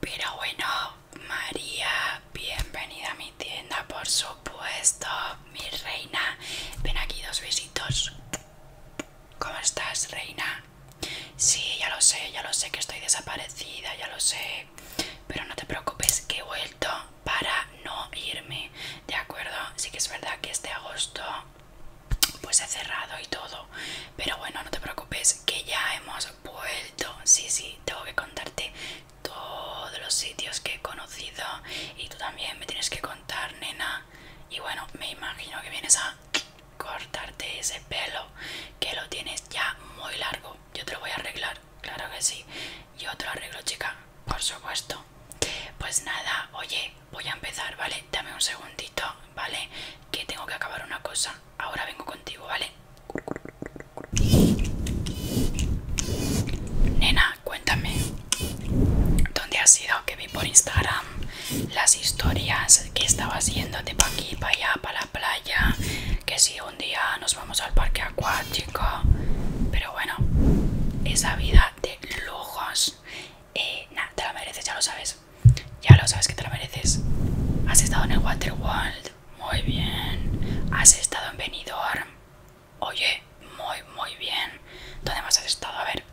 Pero bueno, María, bienvenida a mi tienda, por supuesto, mi reina. Ven aquí dos besitos. ¿Cómo estás, reina? Sí, ya lo sé, ya lo sé que estoy desaparecida, ya lo sé. Pero no te preocupes que he vuelto para no irme, ¿de acuerdo? Sí que es verdad que este agosto pues he cerrado y todo pero bueno no te preocupes que ya hemos vuelto sí sí tengo que contarte todos los sitios que he conocido y tú también me tienes que contar nena y bueno me imagino que vienes a cortarte ese pelo que lo tienes ya muy largo yo te lo voy a arreglar claro que sí yo te lo arreglo chica por supuesto pues nada oye Voy a empezar, ¿vale? Dame un segundito, ¿vale? Que tengo que acabar una cosa. Ahora vengo contigo, ¿vale? Nena, cuéntame. ¿Dónde has ido? Que vi por Instagram las historias que estabas yéndote para aquí, para allá, para la playa. Que si un día nos vamos al parque acuático. Pero bueno, esa vida de lujos eh, nada, te la mereces, ya lo sabes. Ya lo sabes que te la mereces. Has estado en el World muy bien. Has estado en Benidorm, oye, muy, muy bien. ¿Dónde más has estado? A ver,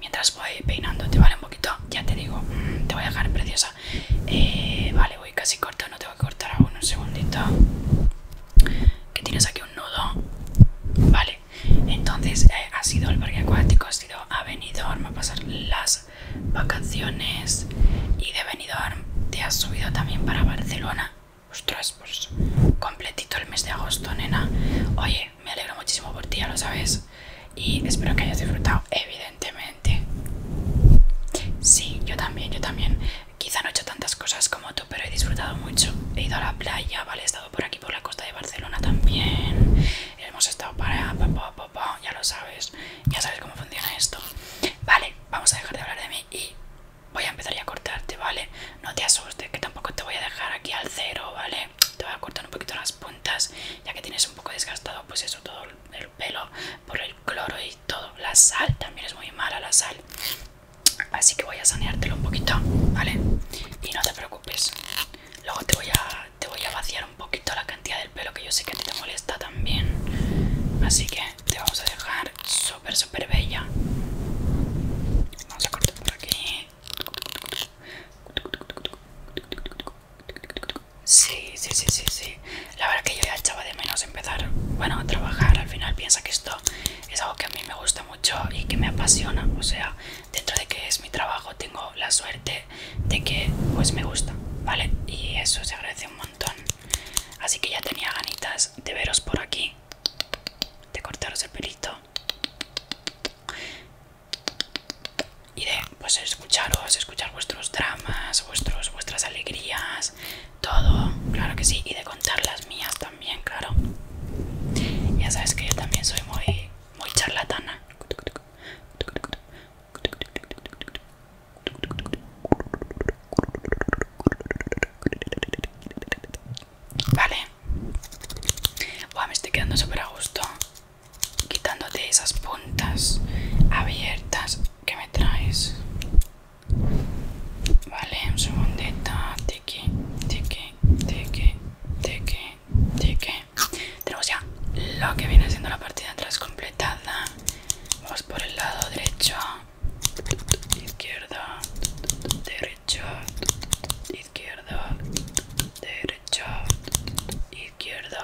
mientras voy peinando te vale, un poquito, ya te digo, mm, te voy a dejar preciosa. Eh, vale, voy casi corto, no tengo que cortar aún, un segundito. Que tienes aquí un nudo. Vale, entonces eh, ha sido el parque acuático, ha sido a Benidorm a pasar las vacaciones y de Benidorm te has subido también para Barcelona. Ostras, pues completito el mes de agosto, nena. Oye, me alegro muchísimo por ti, ya lo sabes. Y espero que hayas disfrutado, evidentemente. Sí, yo también, yo también. Quizá no he hecho tantas cosas como pero he disfrutado mucho. He ido a la playa, vale, he estado por aquí por la costa de Barcelona también. Hemos estado para ya lo sabes, ya sabes cómo funciona esto. Vale, vamos a dejar de hablar de mí y voy a empezar ya a cortarte, ¿vale? No te asustes, que tampoco te voy a dejar aquí al cero, ¿vale? Te voy a cortar un poquito las puntas, ya que tienes un poco desgastado, pues eso, todo el pelo por el cloro y todo. La sal también es muy mala, la sal. Así que voy a saneártelo un poquito, ¿vale? Y no te preocupes. Luego te voy a, te voy a vaciar un poquito la cantidad del pelo que yo sé que a ti te molesta también. Así que te vamos a dejar súper, súper bella. Vamos a cortar por aquí. Sí, sí, sí, sí, sí. La verdad que yo ya echaba de menos empezar, bueno, a trabajar. Al final piensa que esto es algo que a mí me gusta mucho y que me apasiona. O sea, dentro de que es mi trabajo, tengo la suerte de que pues me gusta, ¿vale? Y eso se agradece un montón. Así que ya tenía ganitas de veros por aquí, de cortaros el pelito y de pues escucharos, escuchar vuestros dramas, vuestros, vuestras alegrías, todo, claro que sí, y de contar las mías también, claro. Ya sabes que yo también soy muy, muy charlatana. Vale, me estoy quedando súper a gusto quitándote esas puntas abiertas que me traes. Vale, un segundito. Tiki, tiki, tiki, tiki, tiki. Tenemos ya lo que viene siendo la partida de atrás completada. Vamos por el lado derecho, izquierdo, derecho, izquierdo, derecho, izquierdo.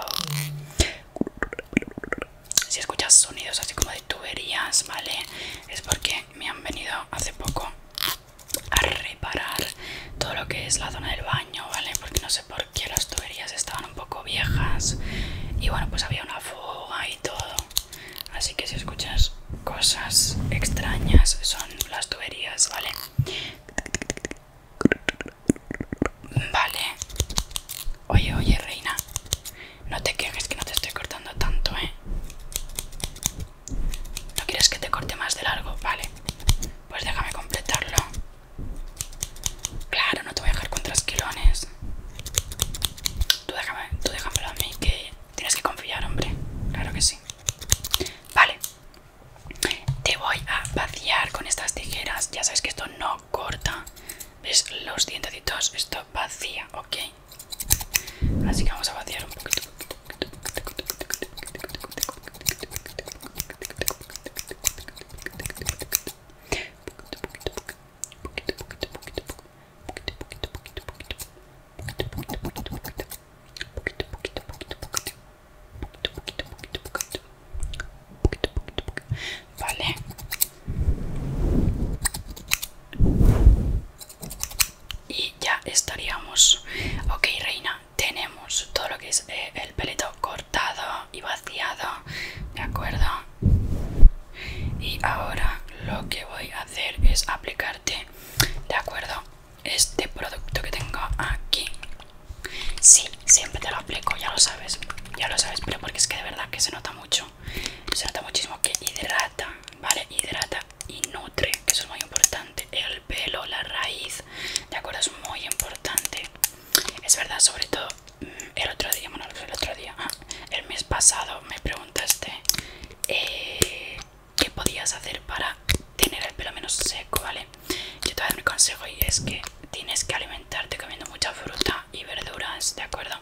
Si escuchas sonidos así como tuberías, ¿vale? Es porque me han venido hace poco a reparar todo lo que es la zona del baño, ¿vale? Porque no sé por qué las tuberías estaban un poco viejas y bueno, pues había una fuga y todo. Así que si escuchas cosas extrañas son las tuberías, ¿vale? Vale. Oye, oye, reina. No te quejes que no te estoy cortando tanto, ¿eh? ¿No quieres que te corte más de largo? Vale. Pues déjame completarlo. Claro, no te voy a dejar con trasquilones. Tú, déjame, tú déjamelo a mí que tienes que confiar, hombre. Claro que sí. Vale. Te voy a vaciar con estas tijeras. Ya sabes que esto no corta. ¿Ves los dientecitos? Esto vacía, ¿ok? Así que vamos a vaciar un poquito vale y ya estaríamos ok reina tenemos todo lo que es eh, el pelito cortado y vaciado de acuerdo y ahora lo que voy a hacer es aplicarte de acuerdo este producto que tengo aquí sí siempre te lo aplico ya lo sabes ya lo sabes pero porque es que de verdad que se nota mucho se nota muchísimo que hidrata vale hidrata y nutre que eso es muy importante el pelo la raíz de acuerdo es muy importante es verdad sobre todo mm, el otro día bueno el otro día el mes pasado me preguntaste eh, qué podías hacer para tener el pelo menos seco vale yo te voy mi consejo y es que tienes que alimentarte comiendo mucha fruta y verduras, ¿de acuerdo?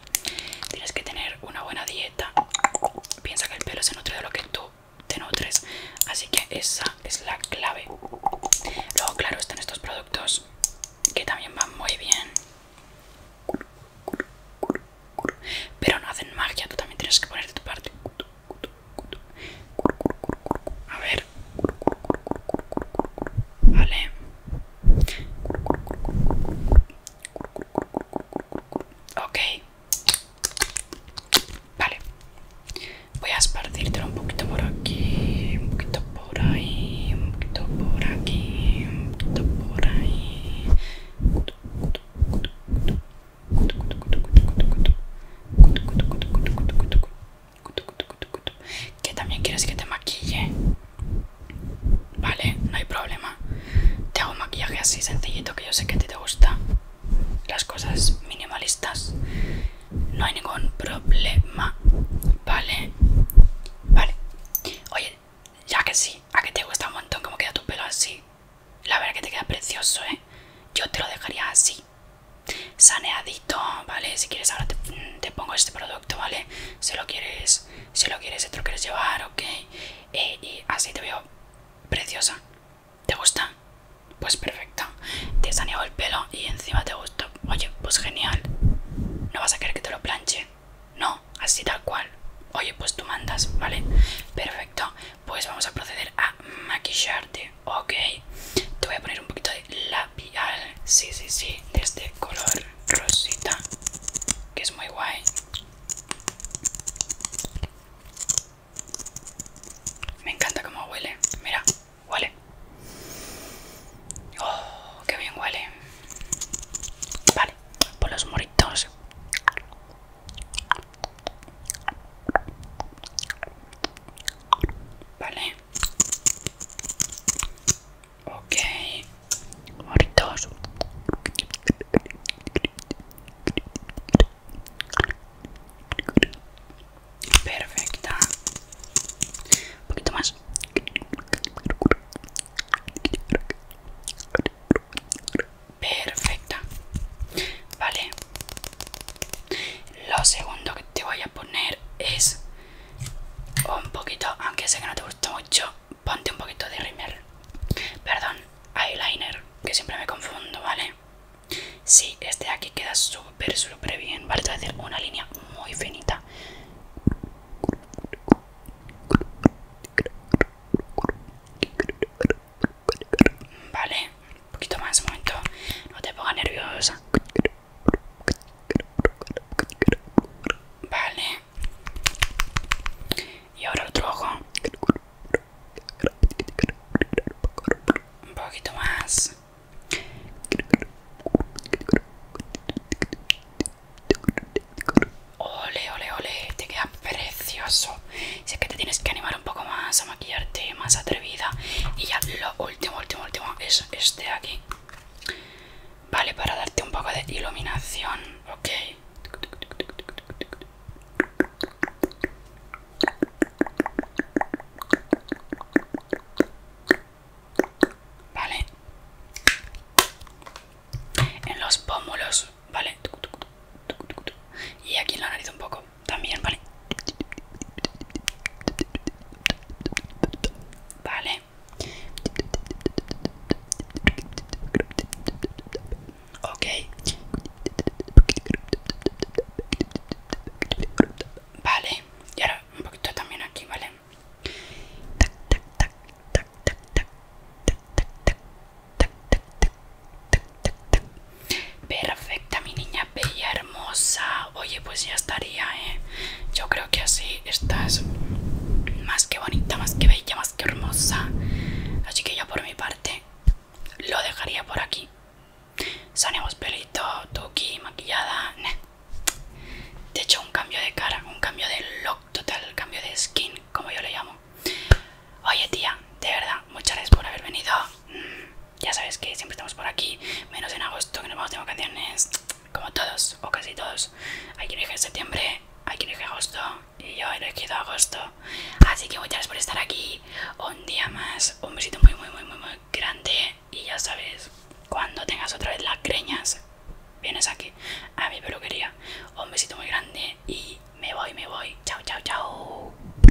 Tienes que tener una buena dieta. Piensa que el pelo se nutre de lo que tú te nutres. Así que esa es la clave. Luego, claro, están estos productos que también van muy bien. Pero no hacen magia, tú también tienes que poner de tu parte. A ver. Vale. Ok. Vale. Voy a esparcirte un poquito por aquí, un poquito por ahí, un poquito por aquí, un poquito por ahí. Que también quieres que te maquille. Vale, no hay problema. Te hago un maquillaje así sencillito que yo sé que a ti te gusta. Las cosas minimalistas. No hay ningún problema. Vale. Vale. Oye, ya que sí, a que te gusta un montón como queda tu pelo así. La verdad que te queda precioso, ¿eh? Yo te lo dejaría así. Saneadito, ¿vale? Si quieres ahora te pongo este producto, ¿vale? Si lo quieres, si lo quieres, te lo quieres llevar, ok. Eh, y así te veo preciosa. ¿Te gusta? Pues perfecto. Te has el pelo y encima te gusta. Oye, pues genial. No vas a querer que te lo planche. No, así tal cual. Oye, pues tú mandas, ¿vale? Perfecto. Pues vamos a proceder a maquillarte, ok. Te voy a poner un poquito de la pial sí, sí, sí, de este color rosita, que es muy guay. Me encanta como huele, mira, huele. Oh, qué bien huele. Vale, por los moritos. Vale. Ok, moritos. Perfecta. Un poquito más. Perfecta. Vale. Lo segundo que te voy a poner es un poquito, aunque sé que no te gusta mucho, ponte un poquito de rimel. Perdón, eyeliner, que siempre me confundo, ¿vale? Sí, este de aquí queda súper, súper bien, ¿vale? Te voy a hacer una línea muy finita. Vale, un poquito más, un momento, no te pongas nerviosa. Vale. Y ahora otro ojo. Un poquito más. Ole, ole, ole, te queda precioso. Si es que te tienes que animar un poco más a maquillarte, más atrevida. Y ya lo último, último, último es este de aquí. Vale, para darte un poco de iluminación, ok. Vale. En los pómulos, vale. Y aquí en la nariz un poco también, ¿vale? Vale. Ok. Vale. Y ahora un poquito también aquí, ¿vale? Perfecta, mi niña bella, hermosa. Oye, pues ya estaría, ¿eh? Yo creo que así estás más que bonita, más que bella, más que hermosa. Así que yo por mi parte lo dejaría por aquí. Sanemos pelito, tuqui, maquillada. de hecho un cambio de cara, un cambio de look total, cambio de skin, como yo le llamo. Oye, tía, de verdad, muchas gracias por haber venido ya sabes que siempre estamos por aquí, menos en agosto que nos vamos de vacaciones, como todos, o casi todos. Hay quien en septiembre, hay quien elige agosto, y yo he elegido agosto. Así que muchas gracias por estar aquí, un día más, un besito muy, muy, muy, muy, muy grande, y ya sabes, cuando tengas otra vez las creñas, vienes aquí, a mi peluquería. Un besito muy grande, y me voy, me voy. Chao, chao, chao.